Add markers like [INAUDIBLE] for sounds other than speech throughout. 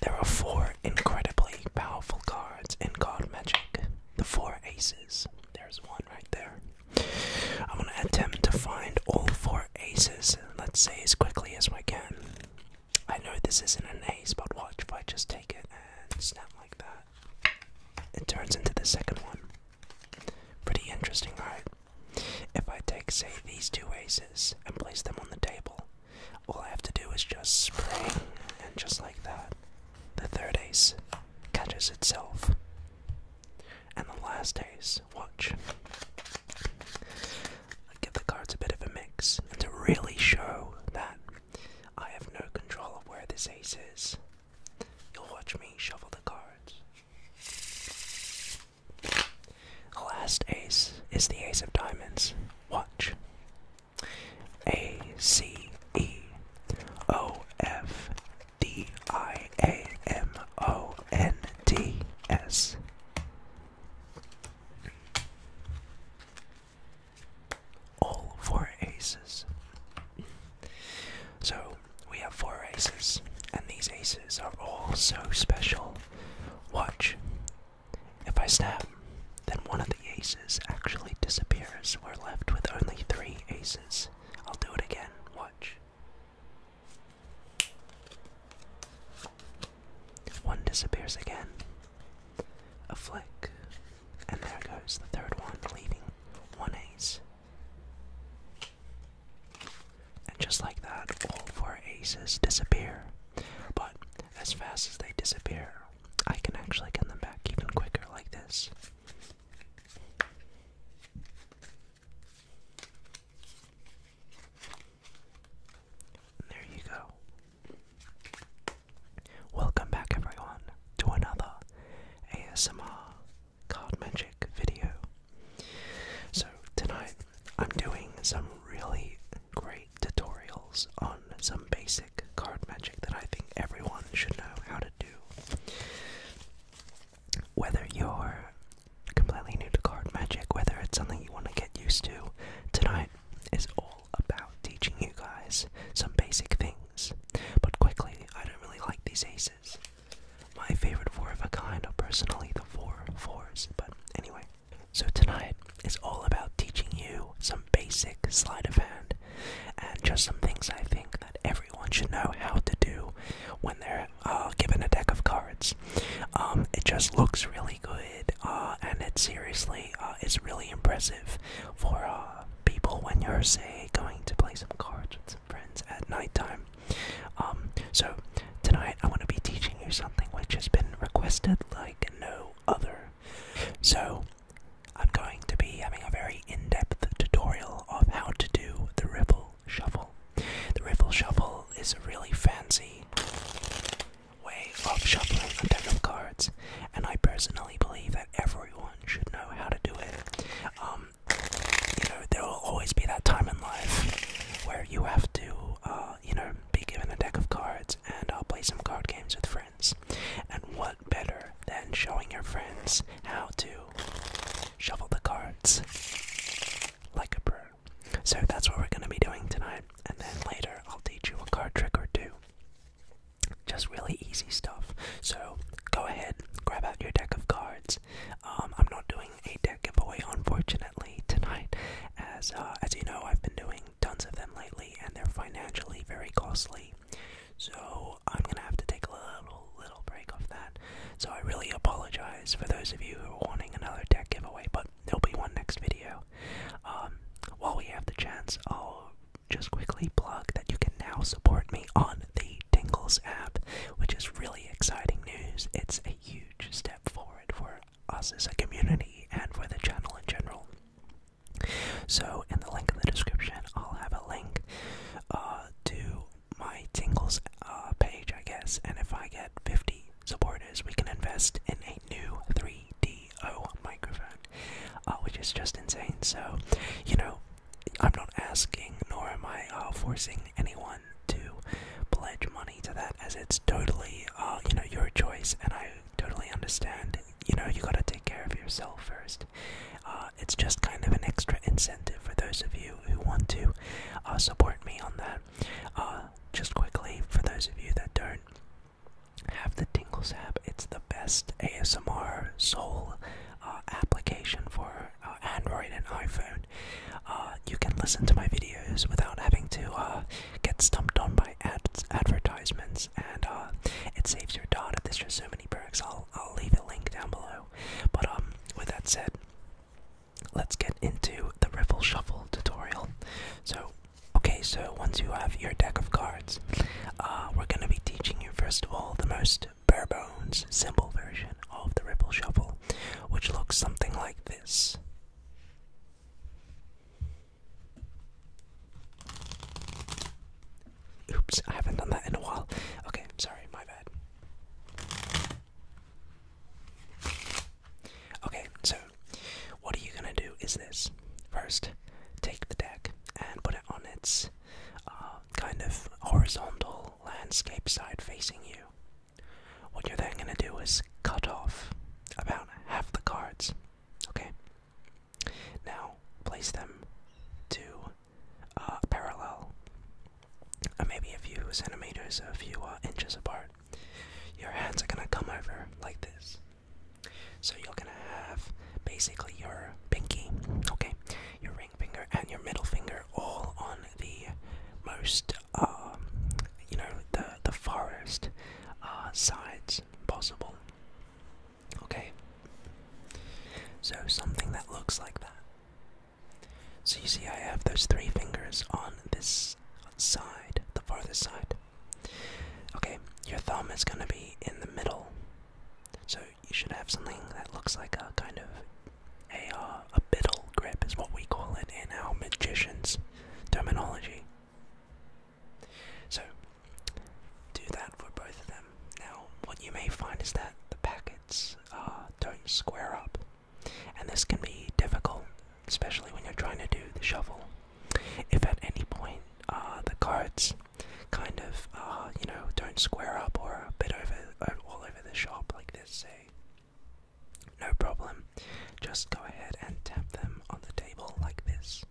There are four incredibly powerful cards in card magic. The four aces. There's one right there. I'm gonna attempt to find all four aces, let's say as quickly as we can. I know this isn't an ace, but watch if I just take it and snap like that. It turns into the second one. Pretty interesting, right? If I take, say, these two aces and place them on the table, all I have to do is just spring, and just like that, the third ace catches itself. And the last ace, watch. I give the cards a bit of a mix, and to really show that I have no control of where this ace is, you'll watch me shuffle the cards. The last ace is the ace of diamonds. Watch. A C E O F D I A M O N D S. All four aces. So we have four aces, and these aces are all so special. Watch. If I snap, then one of the aces actually disappears. We're left with only three aces. I'll do it again. Watch. One disappears again. A flick. And there goes the third one, leaving one ace. And just like that, all four aces disappear. But as fast as they disappear, I can actually get them back even quicker like this. there you go. Welcome back, everyone, to another ASMR card magic video. So, tonight I'm doing some really great tutorials on some basic card magic that I think everyone should know how to do. Whether you're completely new to card magic, whether it's something you want to get used to, tonight is all about teaching you guys some basic things. But quickly, I don't really like these aces. My favorite four of a kind are personally the four fours, but anyway. So tonight is all about teaching you some basic sleight of hand and just some things I think that everyone should know how to do when they're uh, given a deck of cards. Um, it just looks really good, uh, and it seriously uh, is really impressive for uh, people when you're, say, going to play some cards with friends at nighttime. Um, so tonight I want to be teaching you something which has been requested like no other. So I'm going to be having a very in-depth tutorial of how to do the riffle shuffle. The riffle shuffle is a really fancy way of shuffling a deck of cards, and I personally believe that everyone should know how to do it. Um, you know, there will always be that time in life where you have to, uh, you know, be given a deck of cards and I'll uh, play some card games with friends. And what better than showing your friends how to shuffle the cards like a pro? So that's what we're going to be doing tonight, and then later I'll teach you a card trick or two. Just really easy stuff. So go ahead, grab out your deck of cards, um, I'm not doing a deck giveaway unfortunately tonight, as uh, as you know, I've been doing tons of them lately, and they're financially very costly. So I'm gonna have to take a little little break off that. So I really apologize for those of you who are wanting another deck giveaway, but there'll be one next video. Um, while we have the chance, I'll just quickly plug that you can now support me on the Tingles app, which is really exciting news. It's a huge step forward for us as a community and for the channel in general. So, in the link in the description, I'll have a link uh, to my Tingles uh, page, I guess. And if I get 50 supporters, we can invest in a new 3DO microphone, uh, which is just insane. So, you know, I'm not asking, nor am I uh, forcing anyone to pledge money to that, as it's totally, uh, you know, your choice, and I totally understand. You know, you gotta take care of yourself first. Uh, it's just kind of an extra incentive for those of you who want to support me on that. just quickly, for those of you that don't have the Tingles app, it's the best ASMR soul uh, application for uh, Android and iPhone, uh, you can listen to my videos without having to get stumped on by ads, advertisements, and it saves your data. There's just so many perks. I'll I'll leave a link down below. But um, with that said, let's get into the Riffle Shuffle tutorial. So. Okay, so once you have your deck of cards, we're going to be teaching you first of all the most bare bones simple version of the ripple shuffle, which looks something like this. Oops, I haven't done that in a while. Okay, sorry, my bad. Okay, so what are you gonna do is this. First, take the deck and put it on its uh, kind of horizontal landscape side facing you. What you're then going to do is cut off about half the cards. Okay? Now, place them to uh, parallel, uh, maybe a few centimeters, a few inches apart. Your hands are going to come over like this. So you're going to have basically your pinky, okay? Your finger and your middle finger all on the most, um, you know, the the farthest uh, sides possible. Okay. So something that looks like that. So you see, I have those three fingers on this side, the farthest side. Okay, your thumb is going to be in the middle. So you should have something that looks like a kind of a uh, a biddle grip is what we call it in our magician's terminology. So do that for both of them. Now, what you may find is that the packets uh, don't square up, and this can be difficult, especially when you're trying to do the shuffle. If at any point uh, the cards kind of, uh, you know, don't square up or a bit over all over the shop like this say, no problem, just go ahead and tap them on the table like this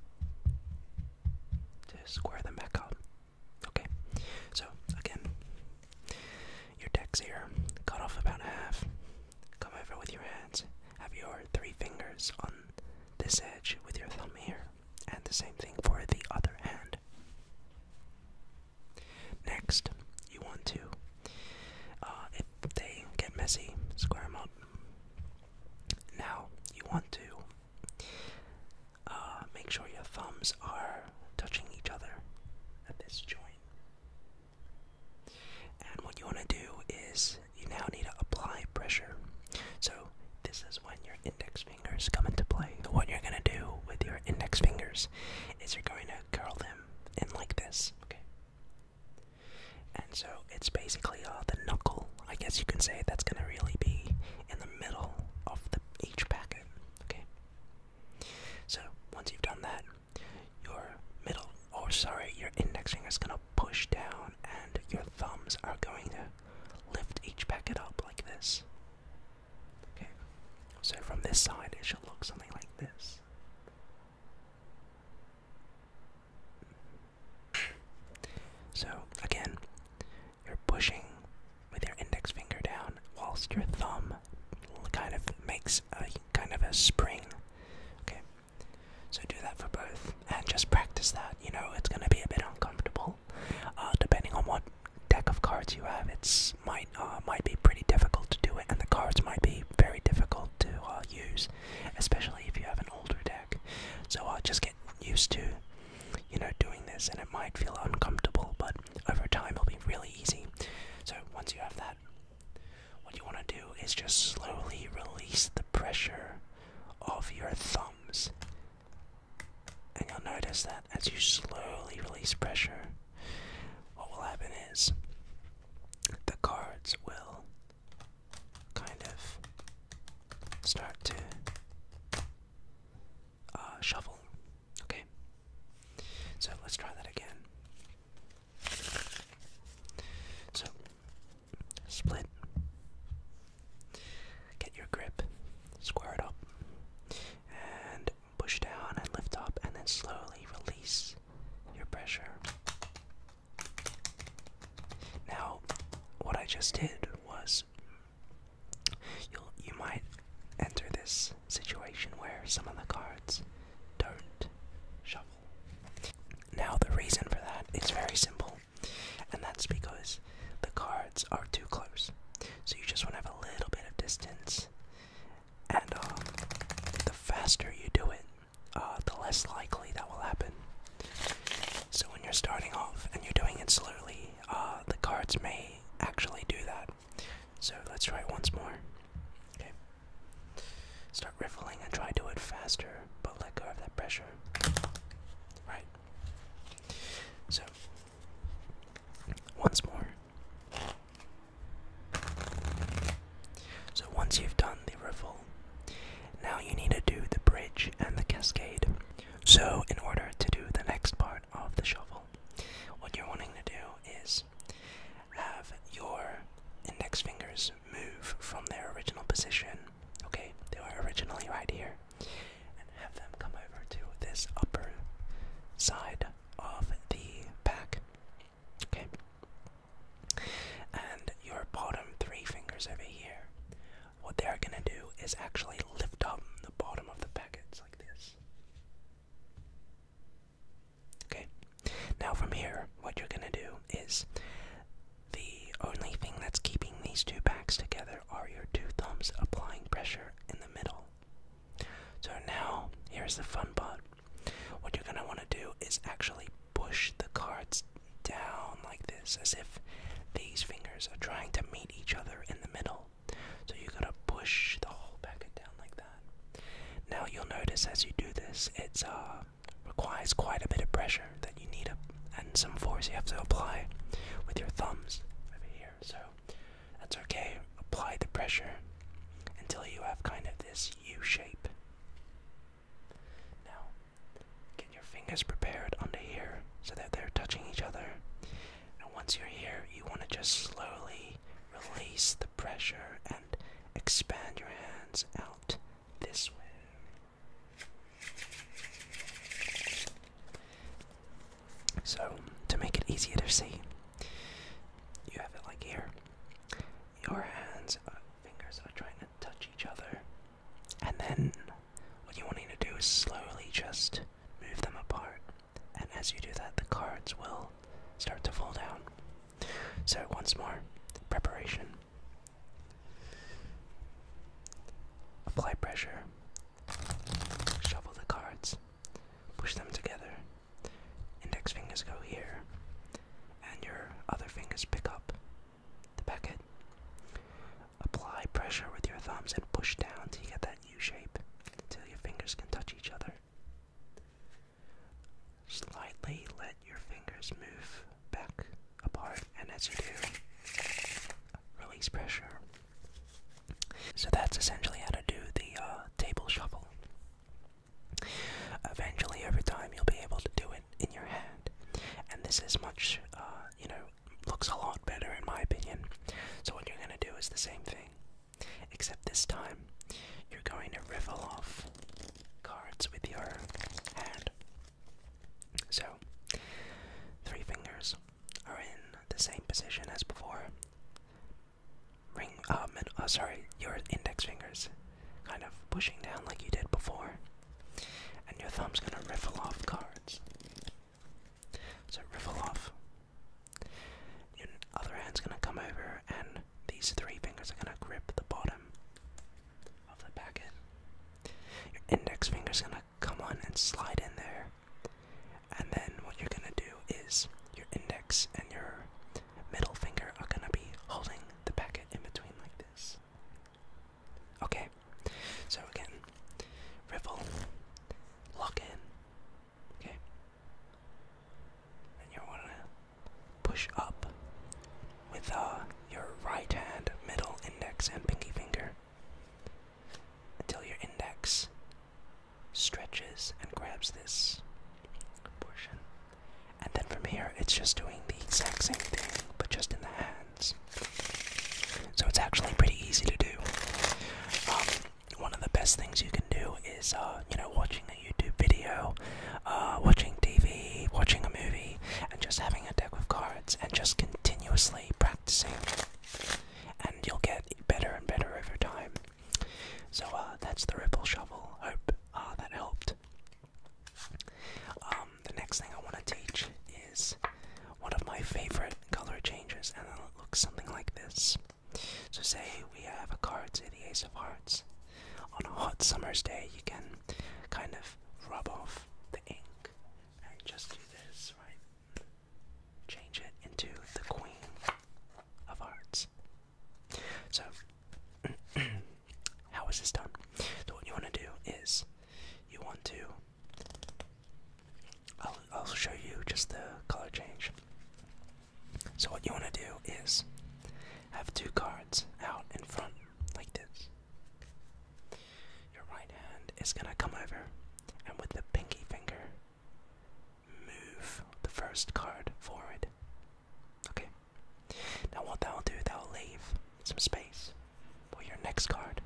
to square them back up. Okay, so again, your deck's here, cut off about half, come over with your hands, have your three fingers on this edge with your thumb here and the same thing for the other hand. Next, you want to, uh, if they get messy, square them up. Now, you want to uh, make sure your thumbs are touching each other at this joint. And what you want to do is you now need to apply pressure. So, this is when index fingers come into play. what you're gonna do with your index fingers is you're going to curl them in like this, okay? And so it's basically uh, the knuckle, I guess you can say, that's gonna really be in the middle of the each packet, okay? So once you've done that, your middle, or oh, sorry, your index finger is gonna push down, and your thumbs are going to lift each packet up like this. Okay, so from this side it should look something like this. So again, you're pushing with your index finger down, whilst your thumb kind of makes a kind of a spring. Okay, so do that for both, and just practice that. You know, it's gonna be a bit uncomfortable, uh, depending on what deck of cards you have, it's might uh, might be pretty difficult to do it, and the cards might be very difficult to uh, use, especially if you have an older deck. So just get used to, you know, doing this, and it might feel uncomfortable, but over time it'll be really easy. So once you have that, what you want to do is just slowly release the pressure of your thumbs and you'll notice that as you slowly release pressure, what will happen is the cards will kind of start to uh, shuffle. Okay? So let's try that again. So Split. Get your grip, square it up, and push down and lift up, and then slowly release your pressure. Now, what I just did was you you might enter this situation where some of the cards don't shuffle. Now, the reason for that is very simple. And that's because the cards are too close. So you just want to have a little bit of distance. And uh, the faster you do it, uh, the less likely that will happen. So when you're starting off and you're doing it slowly, uh, the cards may actually do that. So let's try it once more. Okay. Start start riffling and try to do it faster, but let go of that pressure. Right. So, once more. So, once you've done the riffle, now you need to do the bridge and the cascade. So, in order to do the next part of the shovel, what you're wanting to do is have your index fingers move from their original position, okay, they were originally right here, and have them come over to this upper side of the back. okay? And your bottom three fingers over here, what they're gonna do is actually lift up the bottom of the packets like this. Okay, now from here, what you're gonna do is the only thing that's keeping these two backs together are your two thumbs applying pressure in the middle. So now, here's the fun part. What you're going to want to do is actually push the cards down like this, as if these fingers are trying to meet each other in the middle. So you are going to push the whole packet down like that. Now you'll notice as you do this, it's a uh, requires quite a bit of pressure that you need a, and some force you have to apply with your thumbs over here. So that's okay. Apply the pressure until you have kind of this U shape. Now, get your fingers prepared under here so that they're touching each other. And once you're here, you want to just slowly release the pressure and expand your hands out this way. So, to make it easier to see, you have it like here. Your hands, uh, fingers are trying to touch each other, and then what you want to do is slowly just move them apart. And as you do that, the cards will start to fall down. So, once more, preparation. Apply pressure. Shuffle the cards. Push them together. Index fingers go here. And your other fingers pick up the packet. Apply pressure with your thumbs and push down till you get that U shape until your fingers can touch each other. Slightly let your fingers move back apart, and as you do, release pressure. So that's essentially how to do the uh, table shuffle. Eventually, every time, you'll be able to do it in your hand, and this is much, uh, you know, looks a lot better in my opinion. So what you're going to do is the same thing, except this time you're going to riffle off cards with your hand. So, three fingers are in the same position as before. Ring, um, and, oh, sorry, your index fingers kind of pushing down like you did before, and your thumb's gonna riffle off cards. So, riffle off. Your other hand's gonna come over and these three fingers are going to grip the bottom of the packet. Your index finger is going to come on and slide in there. And then what you're going to do is your index and your middle finger are going to be holding the packet in between like this. Okay, so again, riffle, lock in. Okay, and you want to push up with uh, your right hand, middle, index, and pinky finger until your index stretches and grabs this portion. And then from here, it's just doing the exact same thing, but just in the hands. So it's actually pretty easy to do. Um, one of the best things you can do is, uh, you know, watching a YouTube video, uh, watching TV, watching a movie, and just having a deck of cards and just continuously practicing. And you'll get better and better over time. So uh, that's the Ripple Shovel. Hope uh, that helped. Um, the next thing I want to teach is one of my favorite color changes, and it looks something like this. So, say we have a card, say the Ace of Hearts. On a hot summer's day, you can kind of rub off the ink and just do this, right? Change it into the Queen of Hearts. So, [CLEARS THROAT] how is this done? So, what you want to do is you want to. I'll, I'll show you just the color change. So what you want to do is have two cards out in front like this. Your right hand is going to come over and with the pinky finger move the first card forward. Okay. Now what that'll do, that'll leave some space for your next card.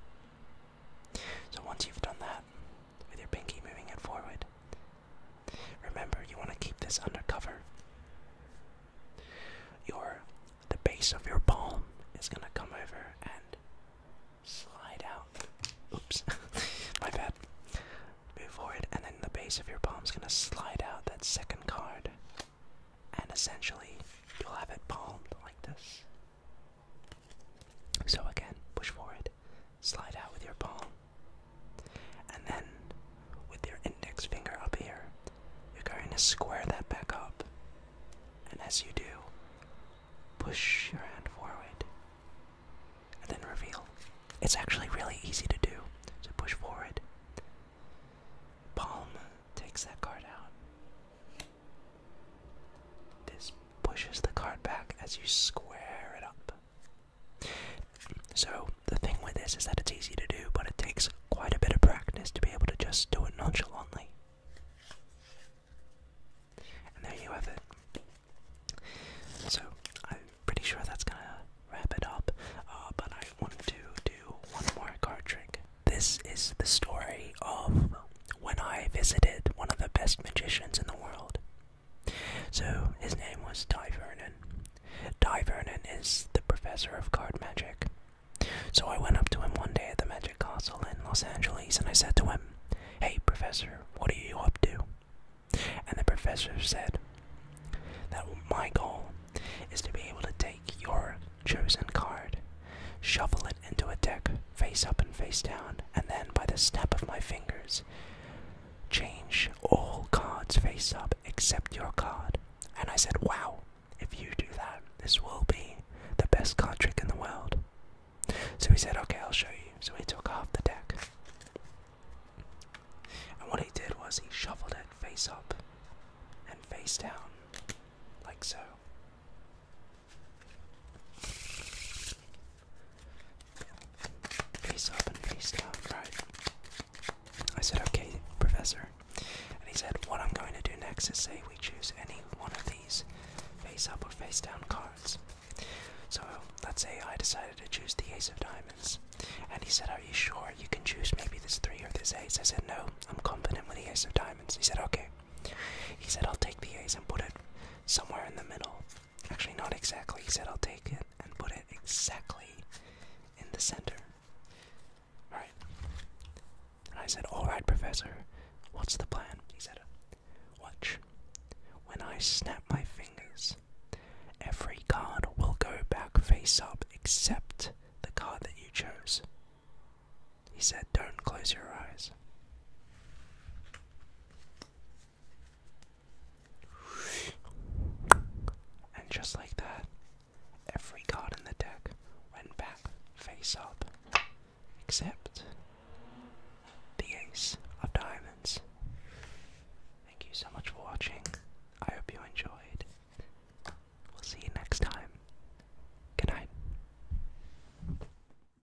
So once you've done that, with your pinky moving it forward, Remember, you want to keep this undercover. Your the base of your palm is gonna come over and slide out. Oops, [LAUGHS] my bad. Move forward, and then the base of your palm is gonna slide out that second card, and essentially you'll have it palmed like this. So again, push forward slide out with your palm. And then, with your index finger up here, you're going to square that back up. And as you do, push your hand forward. And then reveal. It's actually really easy to do. To push forward. Palm takes that card out. This pushes the card back as you square it up. So, the thing with this is that it's easy to do, but it takes quite a bit of practice to be able to just do it nonchalantly. And there you have it. So, I'm pretty sure that's gonna wrap it up, uh, but I wanted to do one more card trick. This is the story of when I visited one of the best magicians in the world. So his name was Di Vernon. Di Vernon is the professor of card magic. So I went up to him one day at the Magic Castle in Los Angeles and I said to him, Hey, professor, what are you up to? And the professor said that my goal is to be able to take your chosen card, shuffle it into a deck face up and face down, and then by the snap of my fingers, Change all cards face up except your card. And I said, wow, if you do that, this will be the best card trick in the world. So he said, okay, I'll show you. So he took half the deck. And what he did was he shuffled it face up and face down, like so. Face up and face down, right? I said, okay, Professor. And he said, what I'm going to do next is say we choose any one of these face up or face down cards. So let's say I decided to choose the Ace of Diamonds. And he said, Are you sure you can choose maybe this 3 or this Ace? I said, No, I'm confident with the Ace of Diamonds. He said, Okay. He said, I'll take the Ace and put it somewhere in the middle. Actually, not exactly. He said I'll take it and put it exactly in the center. Alright. And I said, Alright, Professor, what's the plan? He said, Watch. When I snap my fingers, every card will go back face up except the card that you chose. He said, Don't close your eyes. And just like that, every card in the deck went back face up, except the Ace of Diamonds. Thank you so much for watching. I hope you enjoyed. We'll see you next time. Good night.